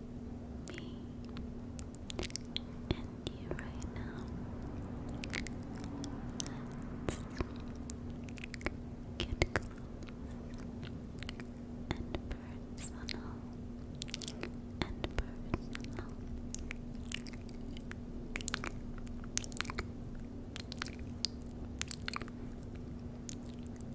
me and you right now. let close and personal and personal.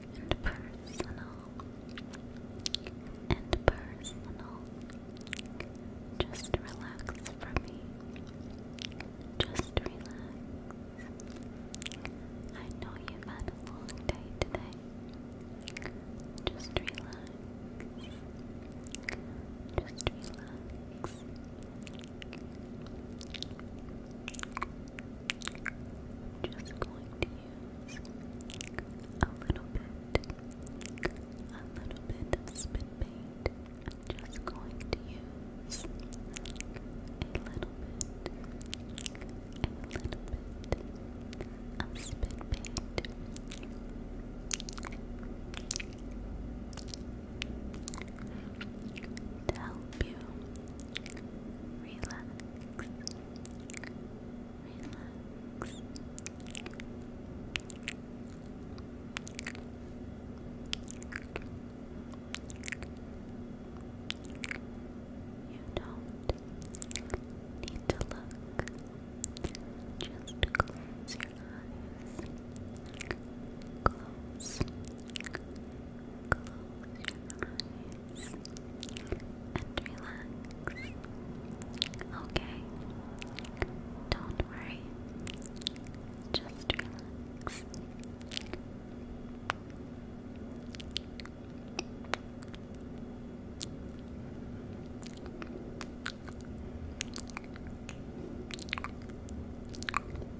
and personal and personal. Just relax for me. Just relax. I know you had a long day today. Just relax. Just relax. Just going to use a little bit, a little bit of spit paint. just going to use a little bit, a little bit of spit paint. To help you relax, relax. You don't need to look. Just close your eyes. Close eyes and Okay, don't worry, just relax.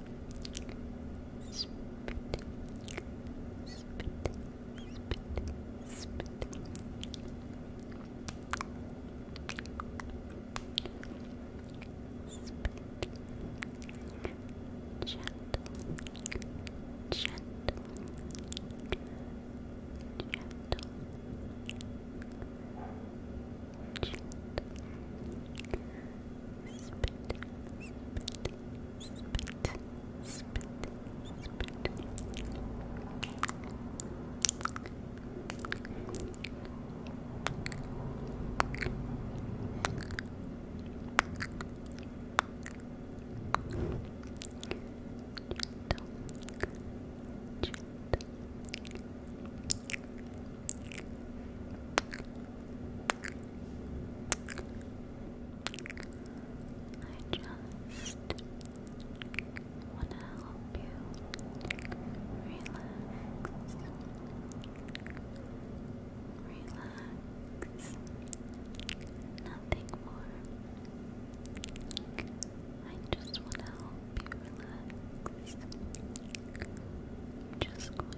spit, spit, spit, spit, spit. Gentle, gentle, gentle, I just want to help you relax, relax, nothing more. I just want to help you relax. just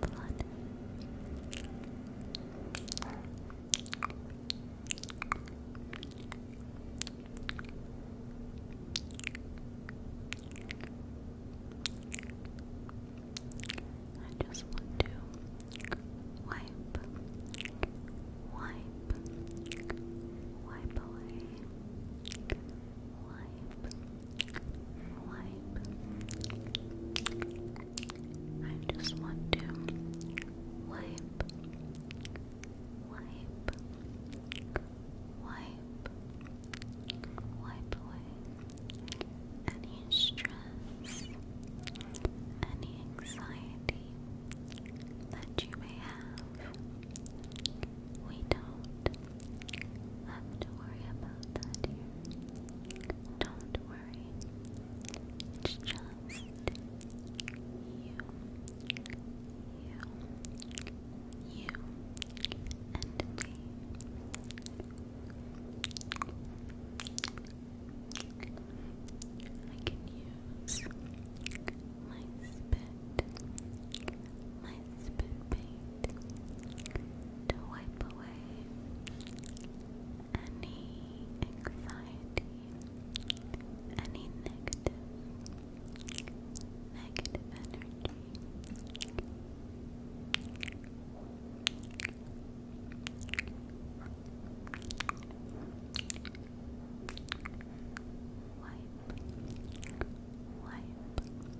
blood. I just want to wipe, wipe, wipe away wipe, wipe. I just want to wipe, wipe, wipe, wipe away any stress, any anxiety that you may have. We don't have to worry about that here. Don't worry. It's just you. You. You and me. I can use my spit my spit paint to wipe away any anxiety, any negative, negative energy. Wipe, wipe,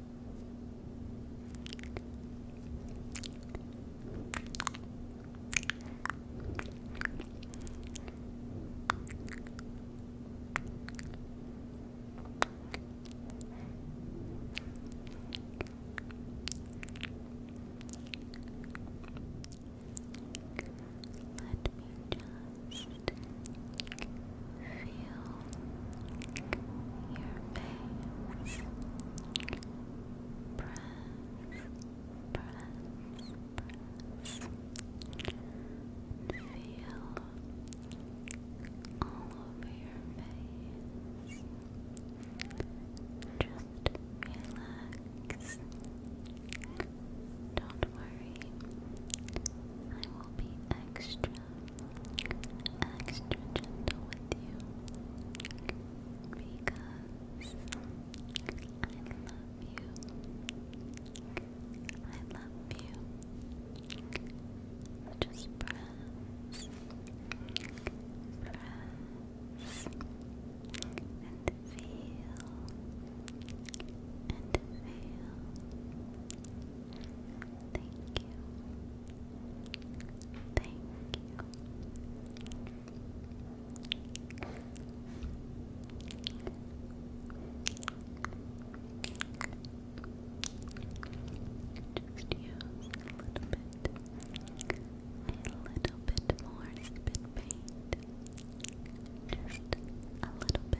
let me just feel face. Press, press, press. Feel all over your face. Just relax. Don't worry. I will be extra extra gentle with you because I love you. I love you. Just press, press, and feel, and feel. Thank you. Thank you. Thank you. Just use a little bit, a little bit more spit paint. Just a little bit.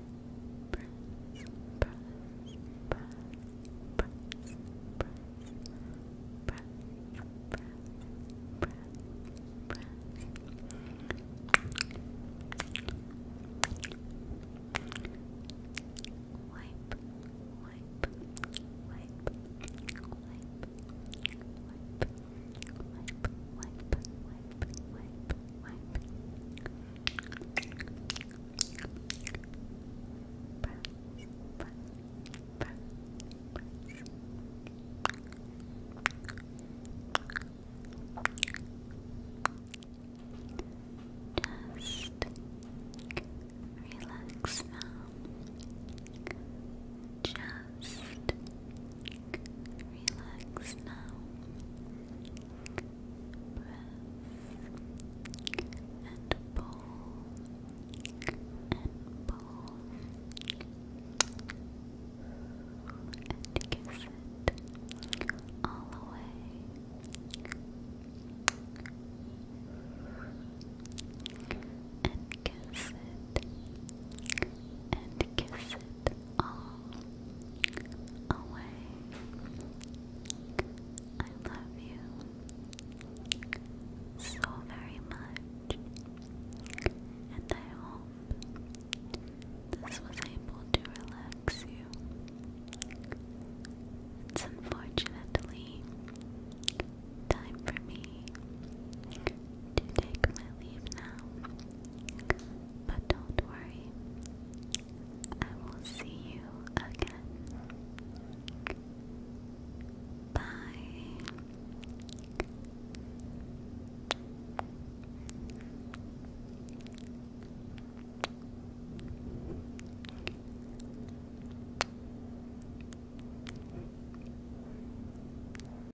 press, press, press, press, press, press, press, press. Wipe, wipe, wipe, wipe, wipe, Wipe, wipe, Just relax now. Just Relax now. Breath and pull and pull and kiss it all away and kiss it and kiss it away. I love you so very much, and I hope this was able to relax you. It's unfortunately time for me to take my leave now. But don't worry, I will see you again. Bye.